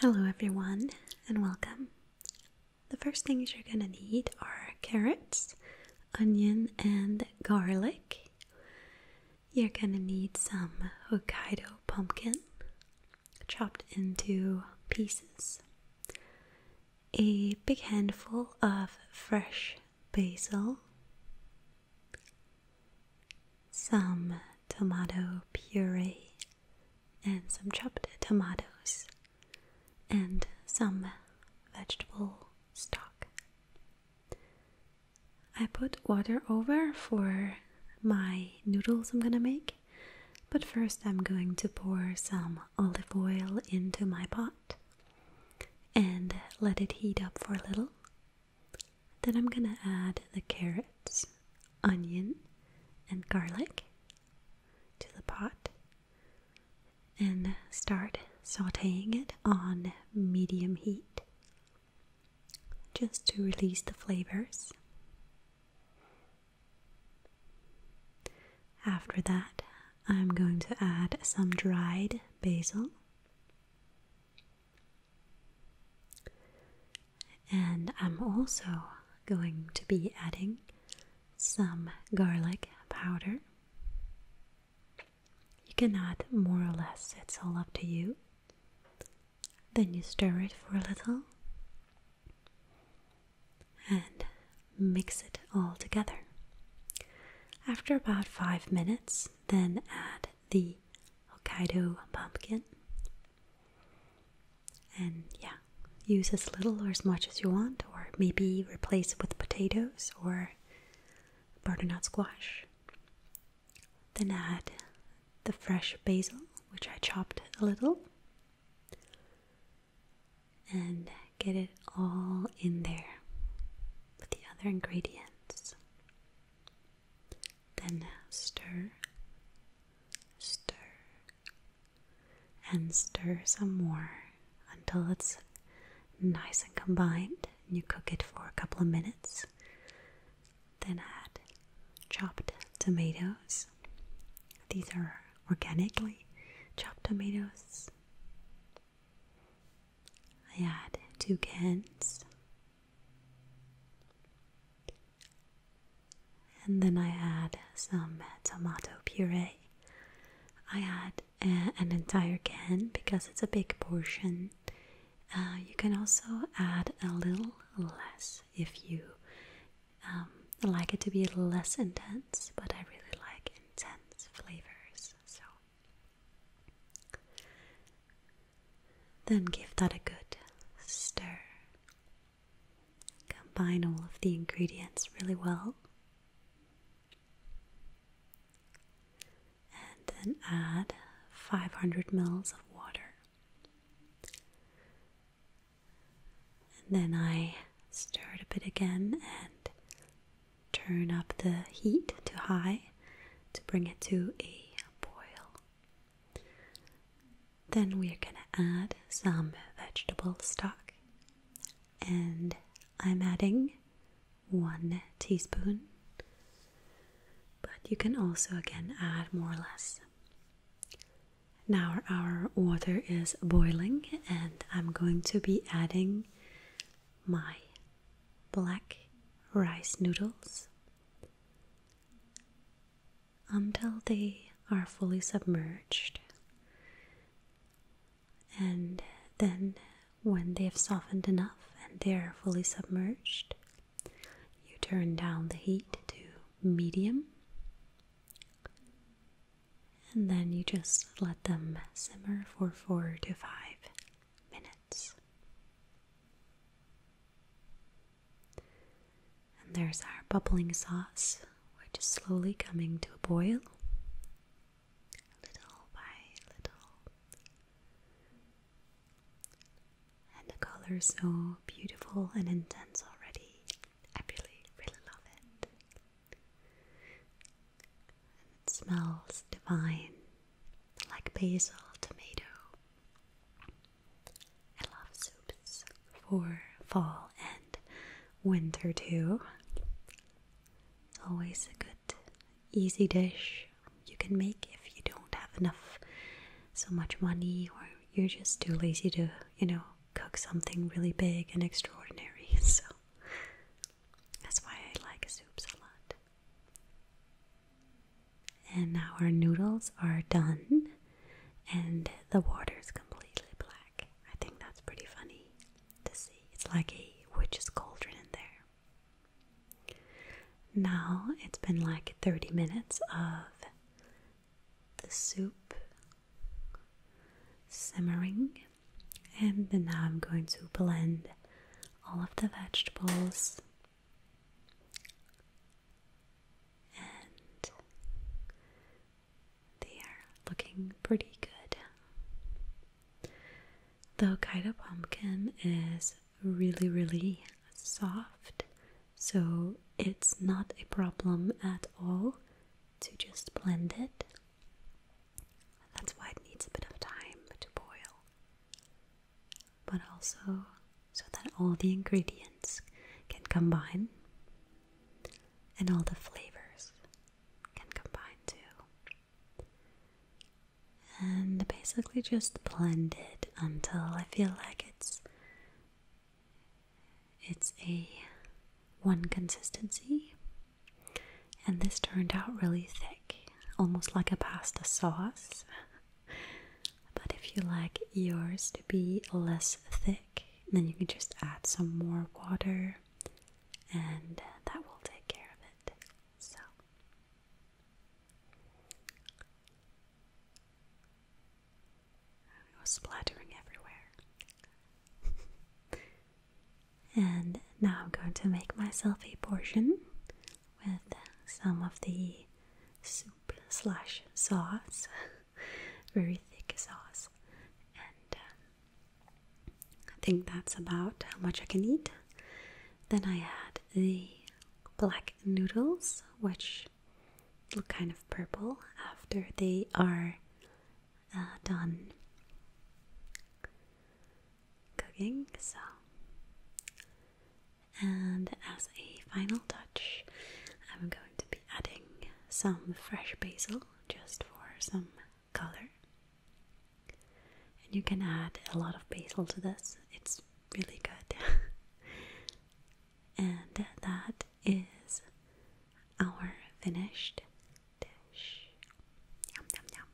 Hello, everyone, and welcome. The first things you're going to need are carrots, onion, and garlic. You're gonna need some Hokkaido pumpkin chopped into pieces, a big handful of fresh basil, some tomato puree, and some chopped tomatoes, and some vegetable stock. I put water over for my noodles I'm gonna make, but first I'm going to pour some olive oil into my pot and let it heat up for a little. Then I'm gonna add the carrots, onion, and garlic to the pot and start sauteing it on medium heat just to release the flavors. After that, I'm going to add some dried basil and I'm also going to be adding some garlic powder. You can add more or less, it's all up to you. Then you stir it for a little and mix it all together. After about five minutes, then add the Hokkaido pumpkin. And yeah, use as little or as much as you want, or maybe replace with potatoes or butternut squash. Then add the fresh basil, which I chopped a little, and get it all in there with the other ingredients. Then stir, stir, and stir some more until it's nice and combined you cook it for a couple of minutes. Then add chopped tomatoes. These are organically chopped tomatoes. I add two cans. And then I add some tomato puree. I add an entire can because it's a big portion. Uh, you can also add a little less if you um, like it to be less intense, but I really like intense flavors. So then give that a good stir. Combine all of the ingredients really well and then add 500 ml of water. And then I stir it a bit again and turn up the heat to high to bring it to a boil. Then we are going to add some vegetable stock and I'm adding one teaspoon, but you can also again add more or less. Now our water is boiling, and I'm going to be adding my black rice noodles until they are fully submerged and then when they have softened enough and they're fully submerged, you turn down the heat to medium and then you just let them simmer for four to five minutes. And there's our bubbling sauce we're just slowly coming to a boil, little by little. And the color is so beautiful and intense already. I really, really love it. it smells divine, like basil, tomato. I love soups for fall and winter too. Always a good, easy dish you can make if you don't have enough, so much money, or you're just too lazy to, you know, cook something really big and extraordinary. So that's why I like soups a lot. And now our noodles are done and the water is completely black. I think that's pretty funny to see. It's like a witch's cauldron in there. Now it's been like 30 minutes of the soup simmering, and now I'm going to blend all of the vegetables and they are looking pretty good. The Hokkaido pumpkin is really, really soft, so it's not a problem at all to just blend it. That's why it needs a bit of time to boil. But also, so that all the ingredients can combine and all the flavors can combine too. And basically just blend it until I feel like it's it's a one consistency. And this turned out really thick, almost like a pasta sauce. but if you like yours to be less thick, then you can just add some more water and that will take care of it. So, it was splattering everywhere. and now I'm going to make myself a portion with some of the soup slash sauce, very thick sauce, and um, I think that's about how much I can eat. Then I add the black noodles, which look kind of purple after they are uh, done cooking. So and as a final touch, I'm going to be adding some fresh basil just for some color. And you can add a lot of basil to this, it's really good. and that is our finished dish. Yum, yum, yum.